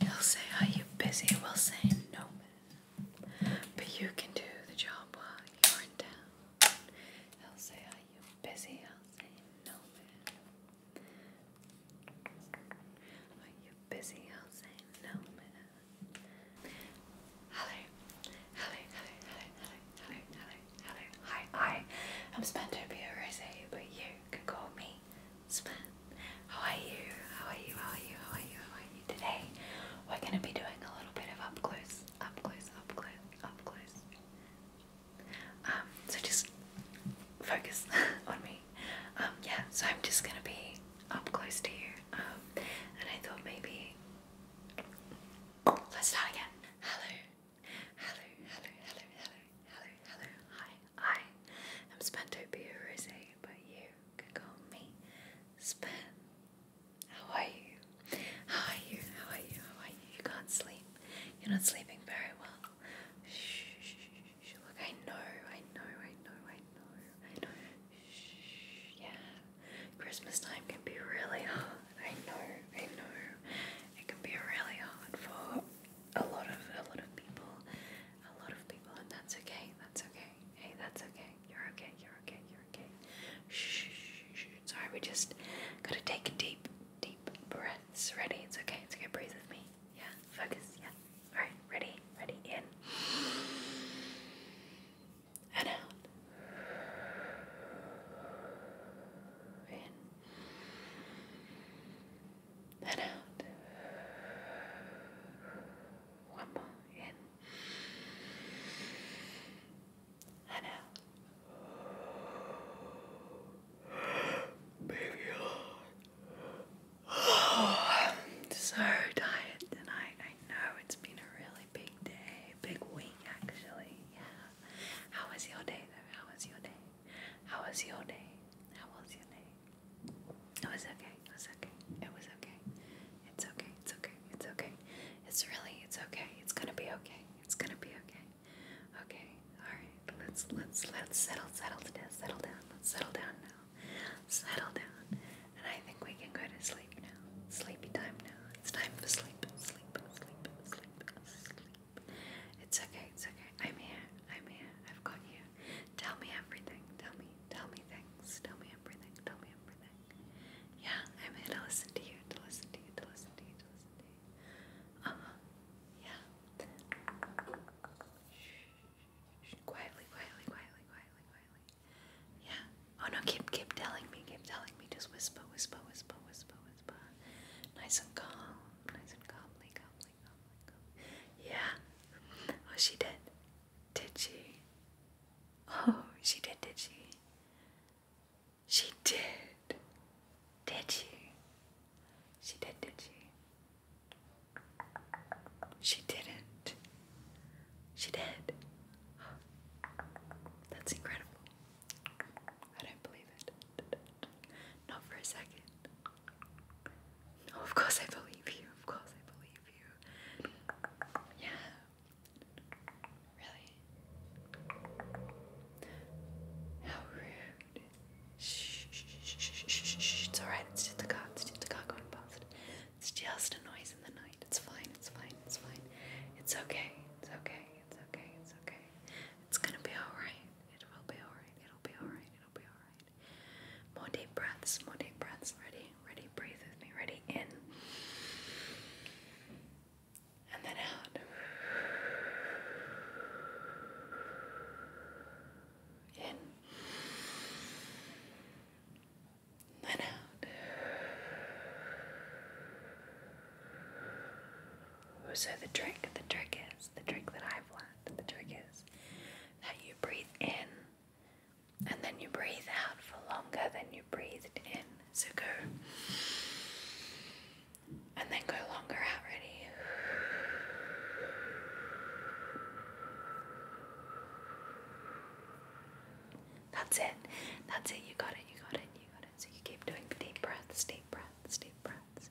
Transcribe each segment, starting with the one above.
He'll say, Are you busy? We'll say, No, man. But you can do the job while you're in town. He'll say, Are you busy? I'll say, No, man. Are you busy? I'll say, No, man. Hello, hello, hello, hello, hello, hello, hello, hello. Hi, I am Spantopia Rose, but you can call me Smith. How are you? How are you? How are you? How are you? How are you today? We're gonna be doing a little bit of up close, up close, up close, up close. Um, so just focus on me. Um, yeah. So I'm just gonna be up close to you. Um, and I thought maybe let's start again. Hello, hello, hello, hello, hello, hello, hello, hi, I am Spentopia Rose, but you can call me Spen. How are you? How are you? How are you? How are you? You can't sleep. You're not sleeping very well. Shh, shh, shh. Look, I know, I know, I know, I know, I know. Shh, yeah. Christmas time can be really hard. I know, I know. It can be really hard for a lot of a lot of people, a lot of people, and that's okay. That's okay. Hey, that's okay. You're okay. You're okay. You're okay. Shh. Sorry, we just gotta take deep, deep breaths. Ready? It's okay. It's okay. Breathe with me. Yeah. Focus. Yeah. All right. Ready. Ready. In. And out. In and out. One more in and out. Baby, I'm so tired tonight. I know it's been a really big day, big week actually. Yeah. How was your day though? How was your day? How was your day? How was your day? It was okay. It was okay. It was okay. It's okay. It's okay. It's okay. It's really it's okay. It's gonna be okay. It's gonna be okay. Okay. All right. Let's let's let's settle settle down. Settle down. Let's settle down now. Settle down. And I think we can go to sleep now. Sleepy time now. It's time for sleep. Sleep. Sleep. Sleep. Sleep. It's okay, it's okay. I'm here, I'm here, I've got you. Tell me everything, tell me, tell me things, tell me everything, tell me everything. Yeah, I'm here to listen to you, to listen to you, to listen to you, to listen to you. Uh huh, yeah. Shh, shh, shh. Quietly, quietly, quietly, quietly, quietly. Yeah. Oh no, keep keep telling me, keep telling me. Just whisper, whisper, whisper, whisper, whisper. Nice and calm, nice and calmly, calmly oh Yeah. Oh, she did. Did she? Oh, she did, did she? She did. Did she? She did, did she? She didn't. She did. That's incredible. I don't believe it. Not for a second of course I believe you. Of course I believe you. Yeah. Really? How rude. Shh, shh, shh, shh, shh, It's alright. It's just a car. It's just a car going past. It's just a noise in the night. It's fine. It's fine. It's fine. It's okay. It's okay. It's okay. It's okay. It's gonna be alright. It will be alright. It'll be alright. It'll be alright. More deep breaths, more deep breaths. Ready? Ready? Breathe with me. Ready? In. And then out. In. then out. So the trick, the trick is, the trick that I've learned that the trick is that you breathe in and then you breathe out for longer than you breathed in. So go and then go longer out. Ready? That's it. That's it. You got it. You got it. You got it. So you keep doing deep breaths, deep breaths, deep breaths.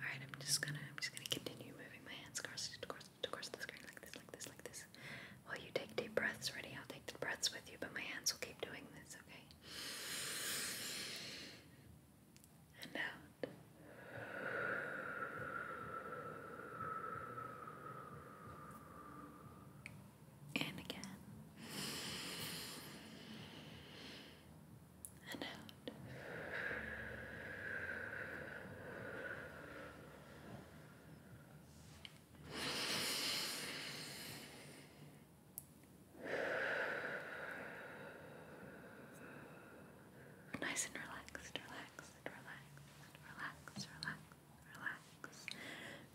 Alright, I'm just gonna I'm just gonna continue moving my hands across across across the screen like this, like this, like this. While you take deep breaths, ready? I'll take the breaths with you, but my hands will keep doing this, okay? And out. And again and out. Nice and relaxed, relaxed, relaxed, relaxed, relaxed, relaxed, relaxed, relaxed, relaxed,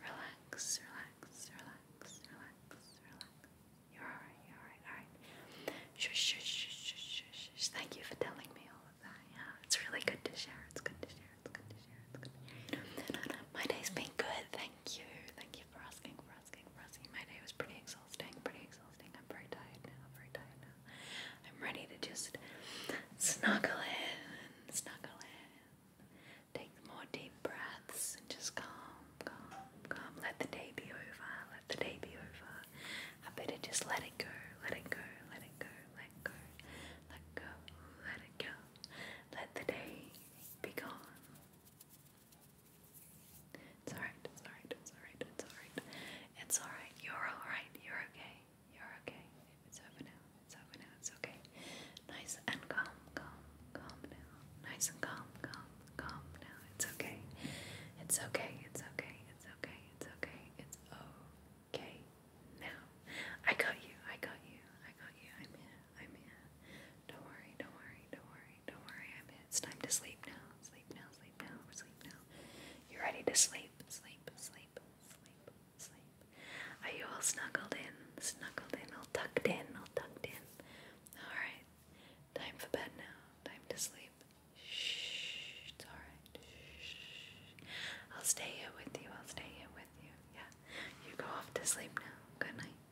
relaxed, relaxed. You're alright, you're alright, alright. Shush, shush, shush, shush, shush. Thank you for telling me all of that. Yeah, it's really good to share. It's good to share. It's good to share. It's good. To share. My day's been good. Thank you. Thank you for asking. For asking. For asking. My day was pretty exhausting. Pretty exhausting. I'm very tired now. I'm very tired now. I'm ready to just snuggle in. Snuggle in. Take more deep breaths and just calm, calm, calm. Let the day be over. Let the day be over. I better just let it go, let it go, let it go, let go, let go, let it go. Let the day be gone. It's alright, it's alright, it's alright, it's alright. It's alright, you're alright, you're okay, you're okay. It's over now, it's over now, it's okay. Nice and calm, calm, calm now. Nice and calm, calm calm now. It's okay. It's okay. It's okay. It's okay. It's okay. It's okay now. I got you. I got you. I got you. I'm here. I'm here. Don't worry. Don't worry. Don't worry. Don't worry. I'm here. It's time to sleep now. Sleep now. Sleep now. Sleep now. You're ready to sleep. Sleep. Sleep. Sleep. Sleep. Are you all snuggled in? Snuggled in. All tucked in. All tucked in. All right. Time for bed now. Time to sleep. Shh, it's alright. Shh. I'll stay here with you. I'll stay here with you. Yeah. You go off to sleep now. Good night.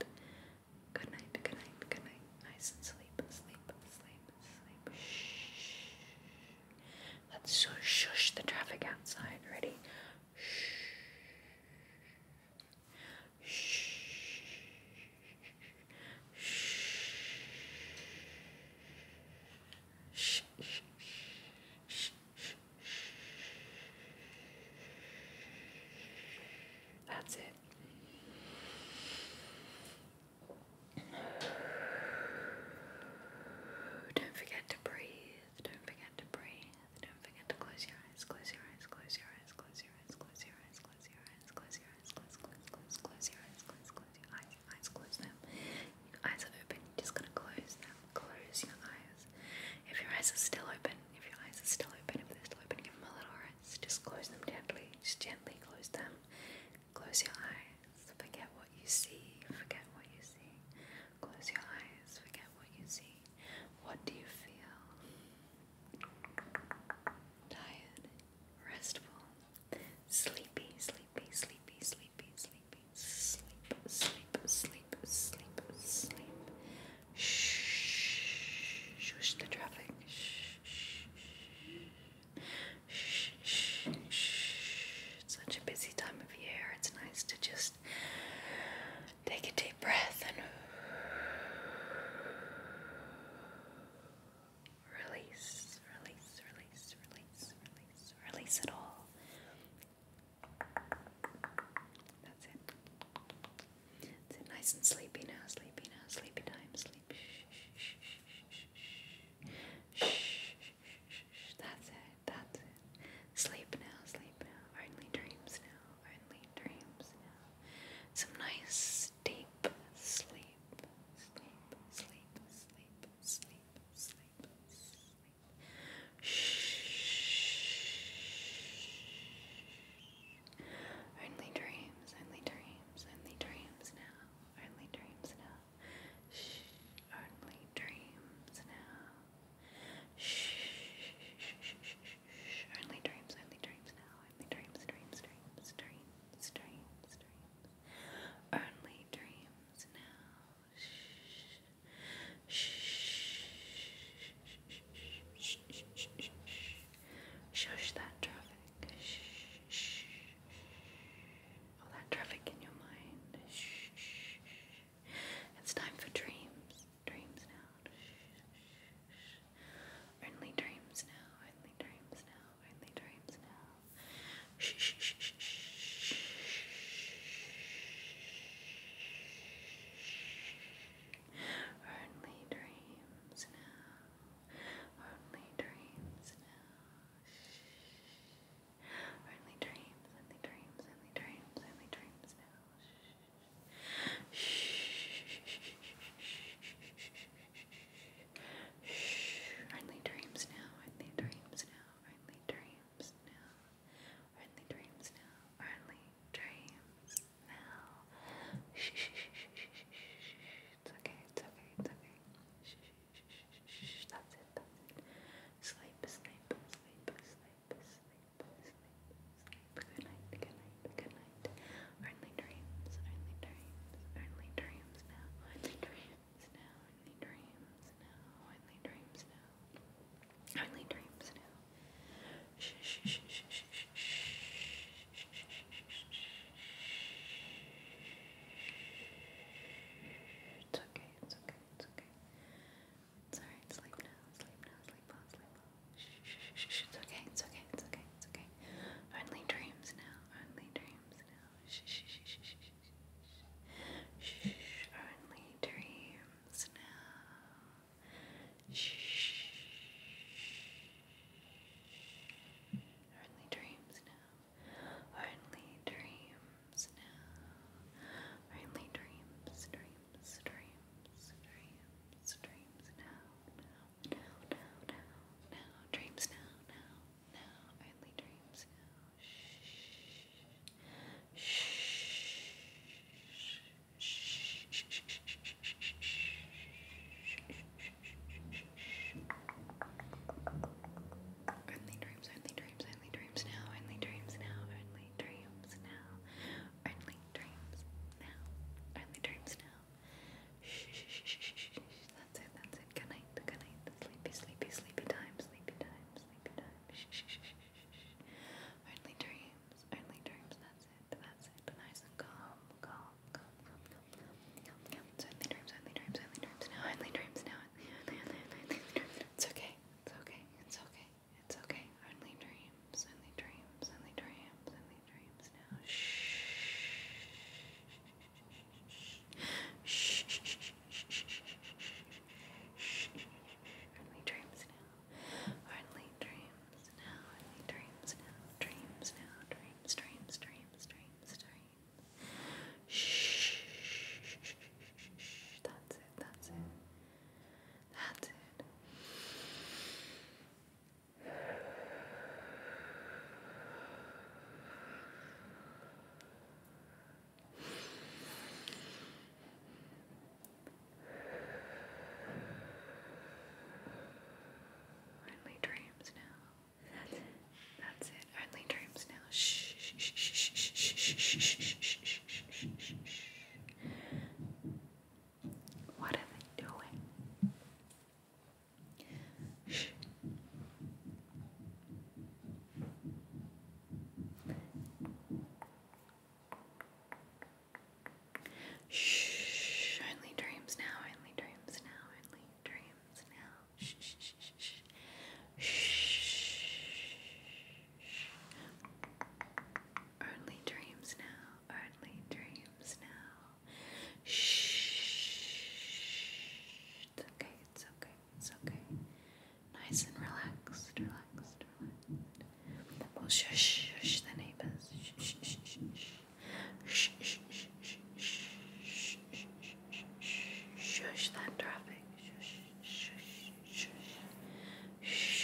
Good night. Good night. Good night. Nice and sleep. Sleep. Sleep. Sleep. Shh. Let's shush, shush the traffic outside. Ready? Shh. Shh. That's it. Don't forget to breathe. Don't forget to breathe. Don't forget to close your eyes. Close your eyes. Close your eyes. Close your eyes. Close your eyes close your eyes, close your eyes, close, close, close, close your eyes, close, close your eyes, your eyes, close them. Your eyes are open, you're just gonna close them, close your eyes. If your eyes are still open, if your eyes are still open, if they're still open, give them a little rest. Just close them gently, just gently close them. Close your eyes, forget what you see, forget what you see. Close your eyes, forget what you see. What do you feel? Tired, restful, Sleepy, sleepy, sleepy, sleepy, sleepy, sleep, sleep, sleep, sleep, sleep. Shh, shush the traffic. Shh, shh, shh, shh, shh. It's such a busy time of year. It's nice to just take a deep breath and Release, release, release, release, release, release it all. That's it. That's Nice and sleepy now, sleepy now, sleepy time, sleep. Shh, shh, shh, shh, shh, shh, shh. That's it, that's it. Sleep now, sleep now. Only dreams now, only dreams now. Some nice Sleep, sleep, sleep, sleep, sleep, sleep, sleep, sleep. Shh. Only dreams, only dreams, only dreams now. Only dreams now. Only dreams now. Shh. Only dreams, only dreams now in dreams, dreams, dreams, dreams, dreams, dreams. Only dreams now. Shh. Shh. Shh. Shh. Shh. Shh. Shush that traffic. Shh. Shh. All that traffic in your mind. Shh. It's time for dreams. Dreams now. Shh. Only dreams now, only dreams now, only dreams now. Shh, shh, shh, shh, shh. Only dreams now, only dreams now. Shh. Only dreams, only dreams, only dreams, only dreams now. Shh. Shh. Shh. Shh. Shh. Shh. Shh. Friendly dreams now, friendly dreams now, friendly dreams now, friendly dreams now, friendly dreams now. Shh, shh, shh, shh, shh. It's okay, it's okay, it's okay. Shh, shh, shh, shh. That's it, that's it. Sleep, sleep, sleep, sleep, sleep, sleep, sleep. Good night, good night good night. Only dreams, only dreams, only dreams now, only dreams now, only dreams now, only dreams now, only dreams now. Shh, shh, shh, shh, shh, shh, shh, shh, shh, shh, shh. It's okay, it's okay, it's okay. It's alright, sleep now, sleep now, sleep on, sleep on. Shh, it's okay, it's okay, it's okay, it's okay. Only dreams now, only dreams now. Shh, shh, shh, shh, shh, shh. Shh, only dreams now. Shh. Only dreams now. Only dreams now. Only dreams, dreams, dreams, dreams, dreams now. Now, now, now, now, now, dreams now, now, now, only dreams now. Shh, shh, shh, shh, shh, only dreams, only dreams, only dreams now, only dreams now, only dreams now, only dreams now, only dreams now. Shh, shh, shh, shh, shh, shh. That's it, that's it. Good night, good night. Sleepy, sleepy, sleepy time, sleepy time, sleepy time. Shh, shh, shh, shh, shh. Early dreams, early dreams. That's it, that's it. Nice and calm, calm, calm, calm, calm, calm, calm, calm. So early dreams, early dreams, early dreams. Now early dreams, now early, early, early, early dreams. It's okay, it's okay, it's okay, it's okay. Early dreams, early dreams, early dreams, early dreams now. Shh. Only dreams now. Only dreams now. Only dreams now. Dreams now. Dreams, dreams, dreams, dreams, dreams. Shh. That's it. That's it. That's it. Only dreams now. That's it. Only dreams now. Shh. shh, shh, shh, shh, shh, shh, shh, shh, shh. What are they doing? Shh. Only dreams now. Only dreams now. Only dreams now. shh. Shh. Only dreams now earthly dreams now. Shh. It's okay, it's okay, it's okay. Nice and relaxed, relaxed, relaxed. We'll shush, shush the neighbors. Shh, shh, shh, shh, shh, shh, shh, shush that traffic. Shush, shush, shush, shush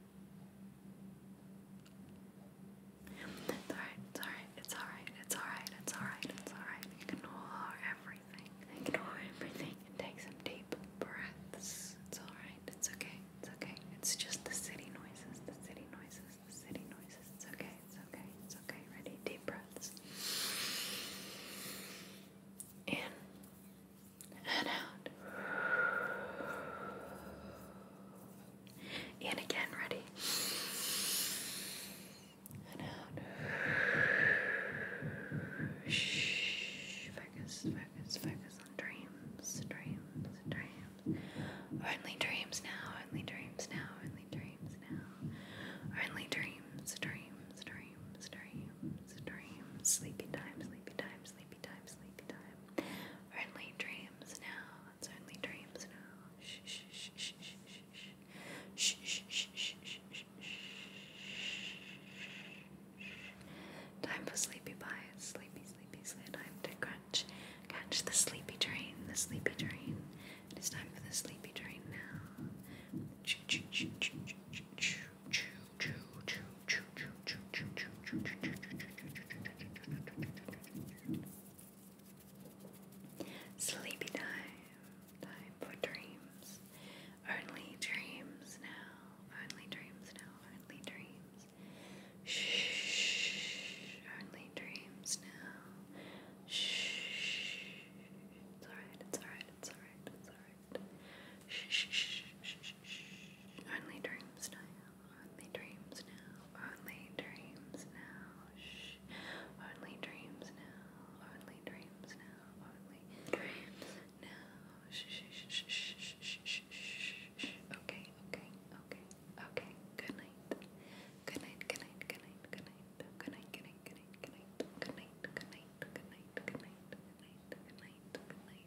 It's alright, it's alright, it's alright, it's alright, it's alright, it's alright. Ignore everything. Ignore everything and take some deep breaths. It's alright, it's okay, it's okay. It's just the city noises, the city noises, the city noises. It's okay, it's okay, it's okay. Ready? Deep breaths. In and out. And again, ready. And out. Shh. Focus, focus, focus on dreams, dreams, dreams. Only dreams now, only dreams now, only dreams now. Only dreams, dreams, dreams, dreams, dreams. Sleepy time, sleepy time, sleepy sleepy time, sleepy time. Only dreams now. It's only dreams now. Shh, shh, shh, shh, shh, shh. Shh, shh, shh, shh, shh, shh. Time for sleepy pies. Sleepy, sleepy, sleepy Time to crunch. Catch the sleepy train, the sleepy train. It is time for the sleepy train now. Choo, choo, choo, choo, choo, choo, choo. Sleepy time, time for dreams. Only dreams now, only dreams now, only dreams. Shh, only dreams now. Shh, it's alright, it's alright, it's alright, it's alright. Shh, shh, shh, shh, shh. Only dreams now. Only dreams now. Only dreams now. Shh. Only dreams now. Only dreams now. Only dreams now. Shh, shh, shh, shh, shh, shh, shh, shh. Okay, okay, okay, okay. Good night. Good night. Good night. Good night. Good night. Good night. Good night. Good night. Good night. Good night. Good night. Good night. Good night. Good night. Good night. Good night.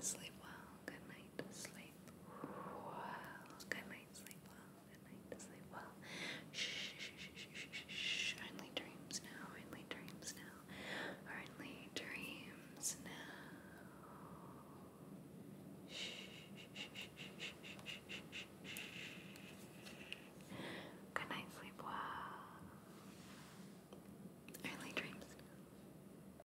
sleep well. Good night, sleep well. Good night, sleep well. Good night, sleep well. Shh, shh, shh, shh, shh, shh, shh. Only dreams now. Only dreams now. Only dreams now. Shh, shh, shh, shh, shh, shh, shh, shh. Good night, sleep well. Early dreams.